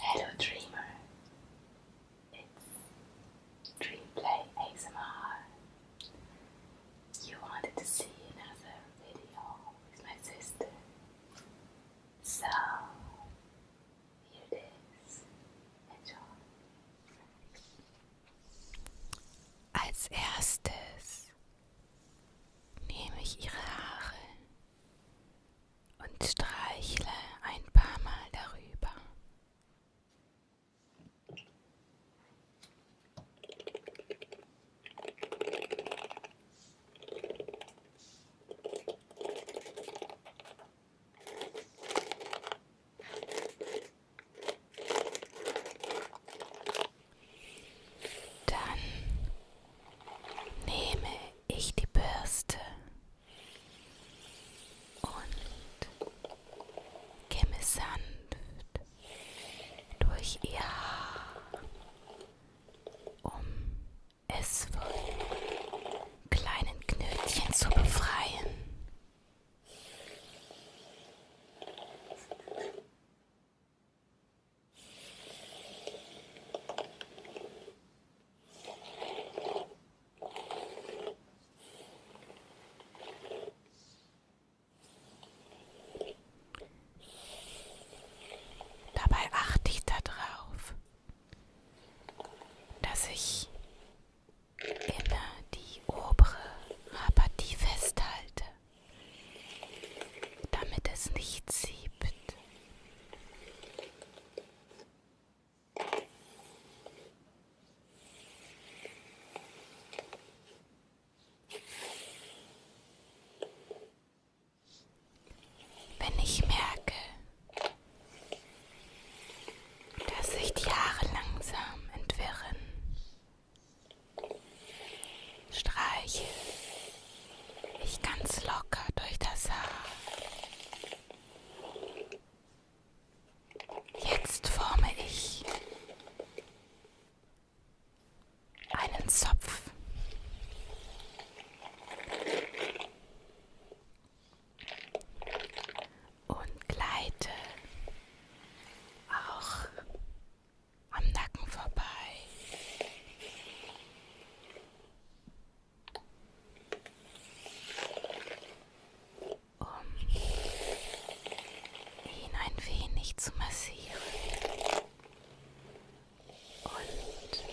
Hello, dreamer. It's Dreamplay ASMR. You wanted to see another video with my sister, so here it is. Enjoy. Als erstes nehme ich ihre Haare und streichle ein paar Mal darüber. Dann nehme ich die Bürste und kämme sanft durch ihr Haar, um es von kleinen Knötchen zu befreien. Dabei achte ich darauf, dass ich immer die obere Apathie festhalte, damit es nicht siebt. Wenn ich merke, dass sich die Haare langsam entwirren, streiche ich ganz locker durch das Haar. Jetzt forme ich einen Zopf. und gleite auch am Nacken vorbei. Um ihn ein wenig zu massieren und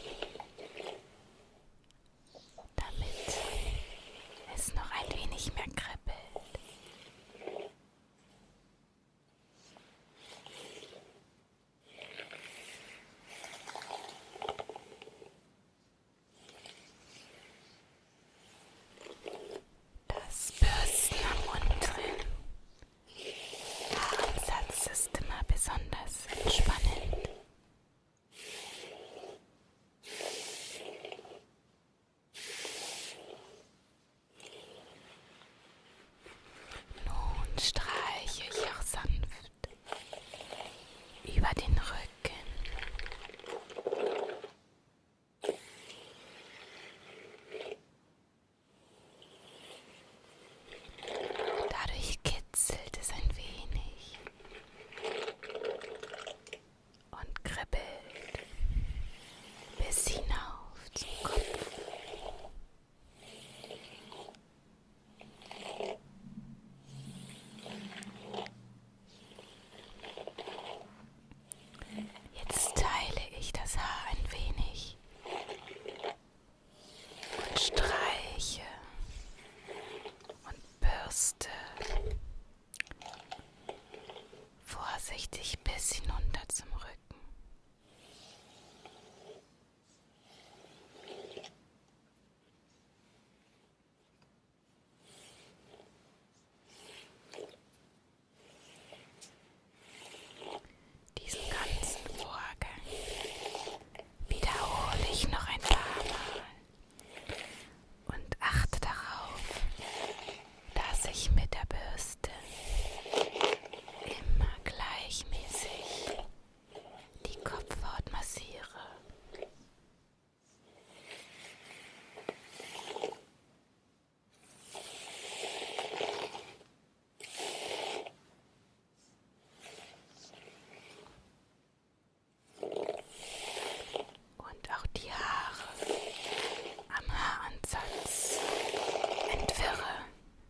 damit es noch ein wenig mehr kribbelt. Das Bürsten am unteren Haaransatz ist immer besonders entspannend. Nun streiche ich auch sanft über den Rücken. Dadurch kitzelt es ein wenig und kribbelt bis hinauf zum Kopf. Jetzt teile ich das Haar ein wenig und streiche und bürste vorsichtig bis hinunter zum Rücken. Diesen ganzen Vorgang wiederhole ich noch ein paar Mal und achte darauf, dass ich mit der Bürste immer gleichmäßig die Kopfhaut massiere. Und auch die Haare am Haaransatz entwirre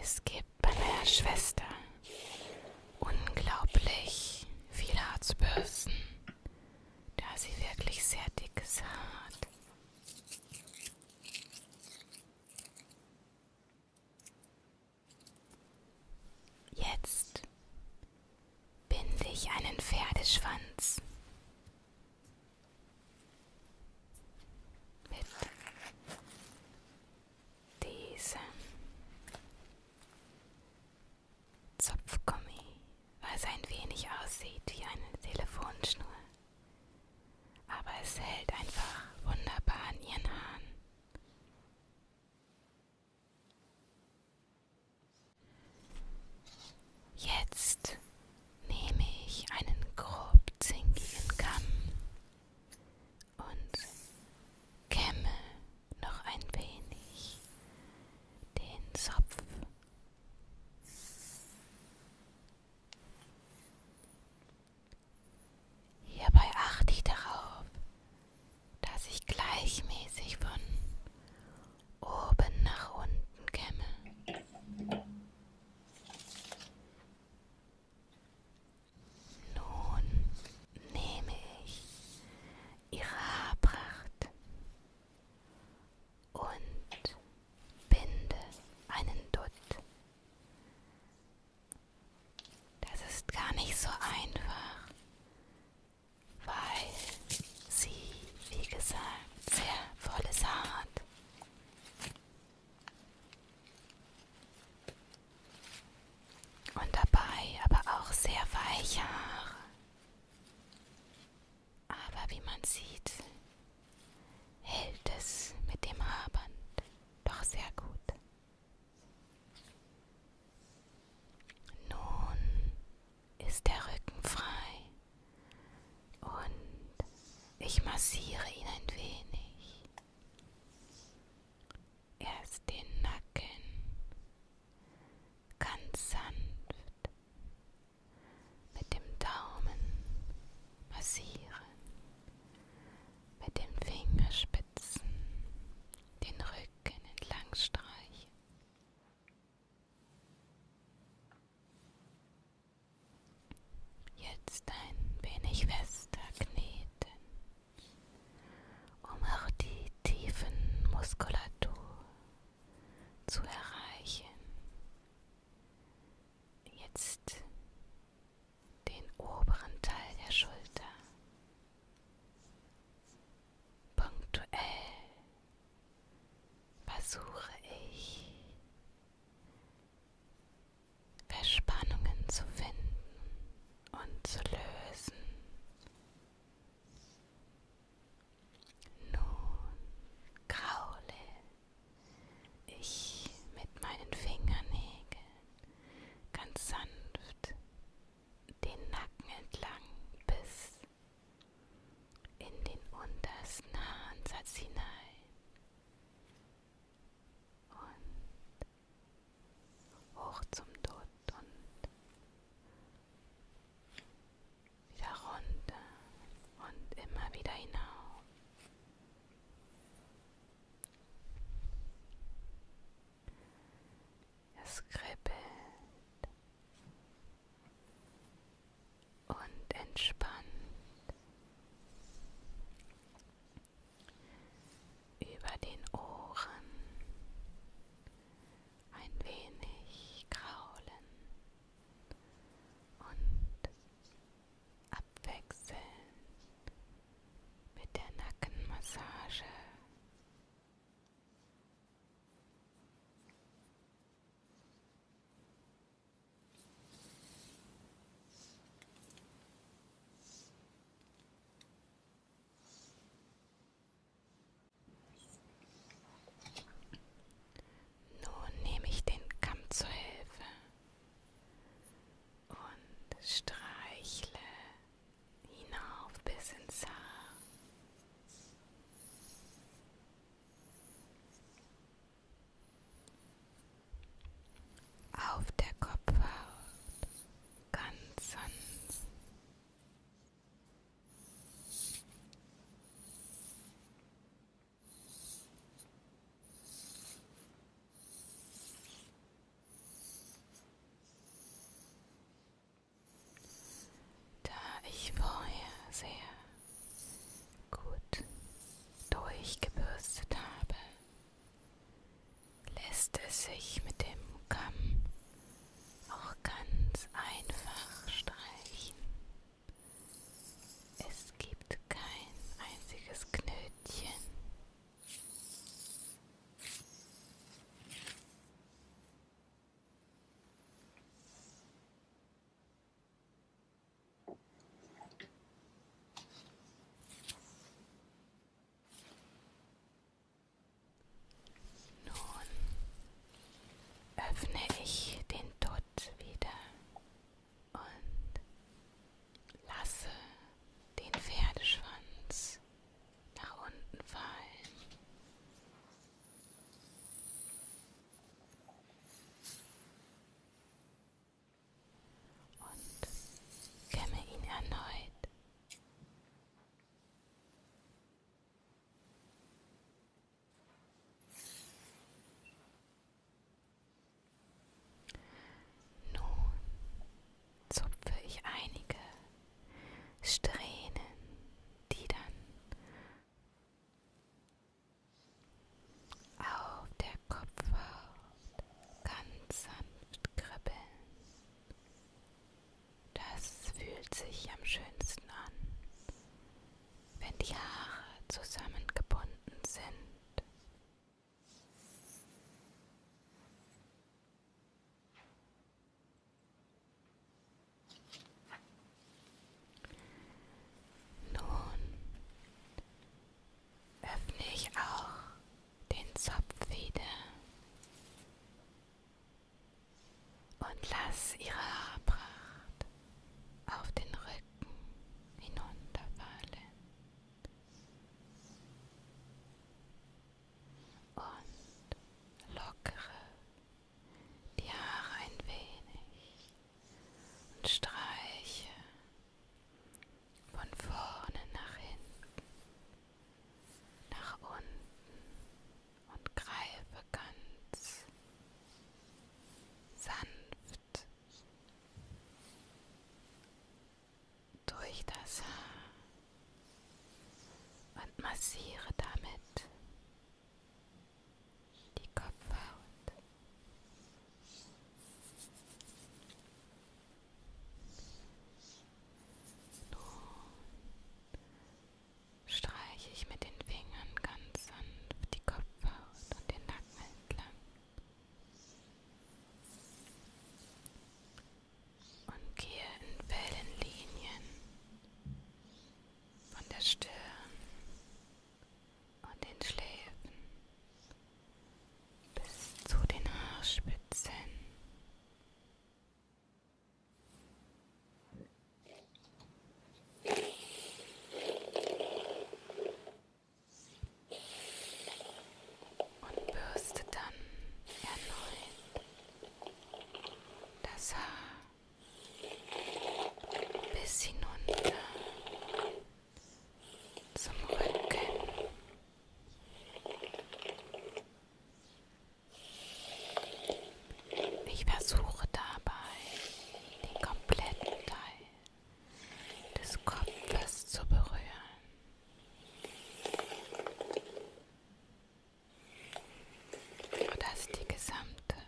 Es gibt bei meiner Schwester unglaublich viele Harzbürsten, da sie wirklich sehr dickes Haar hat. Jetzt binde ich einen Pferdeschwanz mit diesem Zopfgummi, weil es ein wenig aussieht wie eine Telefonschnur. Aber es hält einfach wunderbar an ihren Haaren. Jetzt nehme ich einen grob zinkigen Kamm und kämme noch ein wenig den Zopf. Hierbei achte ich darauf, dass ich gleichmäßig von oben nach unten käme. Nun nehme ich ihre Haarpracht und binde einen Dutt. Das ist gar nicht so einfach weil sie, wie gesagt, sehr volles Haar hat. Und dabei aber auch sehr weiche Haare. Aber wie man sieht, hält es mit dem Haarband doch sehr gut. Nun ist der Rücken frei und ich massiere ihn ein wenig. Erst den Nacken ganz sanft mit dem Daumen massieren, mit den Fingerspitzen den Rücken entlang streichen. Jetzt ein wenig fester kneten, um auch die tiefen Muskulatur zu erreichen. Jetzt den oberen Teil der Schulter. Punktuell versuche ich Verspannungen zu finden und zu lösen. Nun kraule ich mit meinen Fingernägeln ganz sanft den Nacken entlang bis in den untersten Ansatz hinein und hoch zum Tod und wieder runter und immer wieder hinauf. Es kribbelt und entspannt über den Ohren ein wenig kraulen und abwechseln mit der Nackenmassage nun nehme ich den Kamm zur Hilfe und streichle hinauf bis ins Haar. Auf der Kopfhaut ganz sanft. Da ich vorher sehr gut durchgebürstet habe, lässt es sich mit dem Kamm auch ganz einfach streichen. Es gibt kein einziges Knötchen. Nun öffne ich den Dutt wieder und lasse den Pferdeschwanz nach unten fallen und kämme ihn erneut. Nun zupfe ich einige Strähnen, die dann auf der Kopfhaut ganz sanft kribbeln. Das fühlt sich am schönsten an, wenn die Haare zusammengebunden sind. Nun öffne ich auch den Zopf wieder und lass ihre Haarpracht auf den Rücken hinunterfallen und lockere die Haare ein wenig und streiche von vorne nach hinten, nach unten und greife ganz sanft durch das Haar und massiere damit die Kopfhaut. Nun streiche ich mit den Fingern ganz sanft die Kopfhaut und den Nacken entlang und gehe in Wellenlinien von der Stirn und den Schläfen bis zu den Haarspitzen. und bürste dann erneut das Haar bis hinunter zum Rücken. Ich versuche dabei, den kompletten Teil des Kopfes zu berühren. Dass die gesamte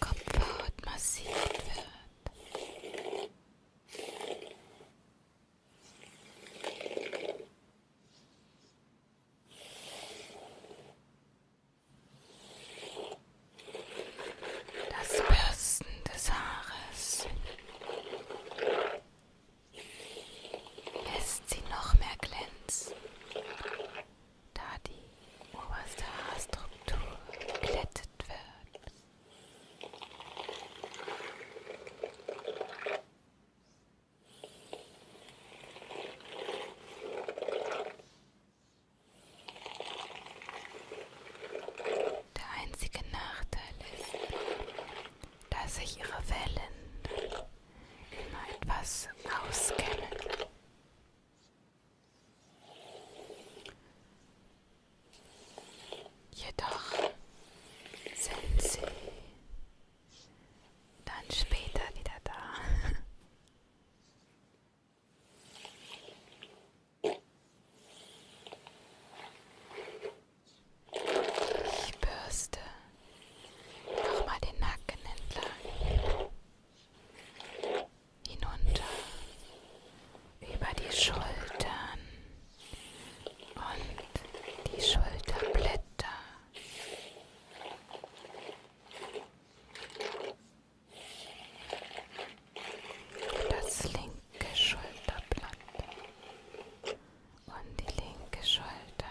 Kopfhaut massiert wird. Das Bürsten des Haares lässt sie noch mehr glänzen, da die oberste Haarstruktur glättet wird. Der einzige Nachteil ist, dass sich ihre Wellen immer etwas auskennen. Jedoch sind sie dann später wieder da. Die Bürste. Nochmal den Nacken entlang. Hinunter. Über die Schultern. Und die Schulterblätter. Das linke Schulterblatt und die linke Schulter.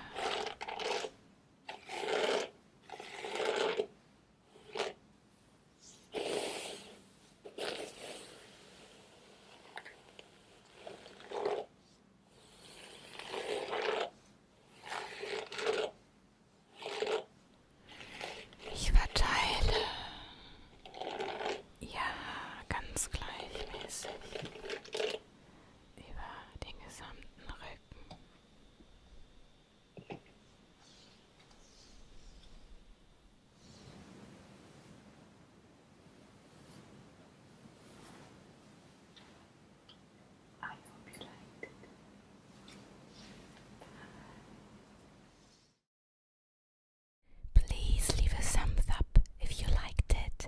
Ich verteile ja ganz gleichmäßig über den gesamten Rücken. I hope you liked Please leave a thumbs up if you liked it.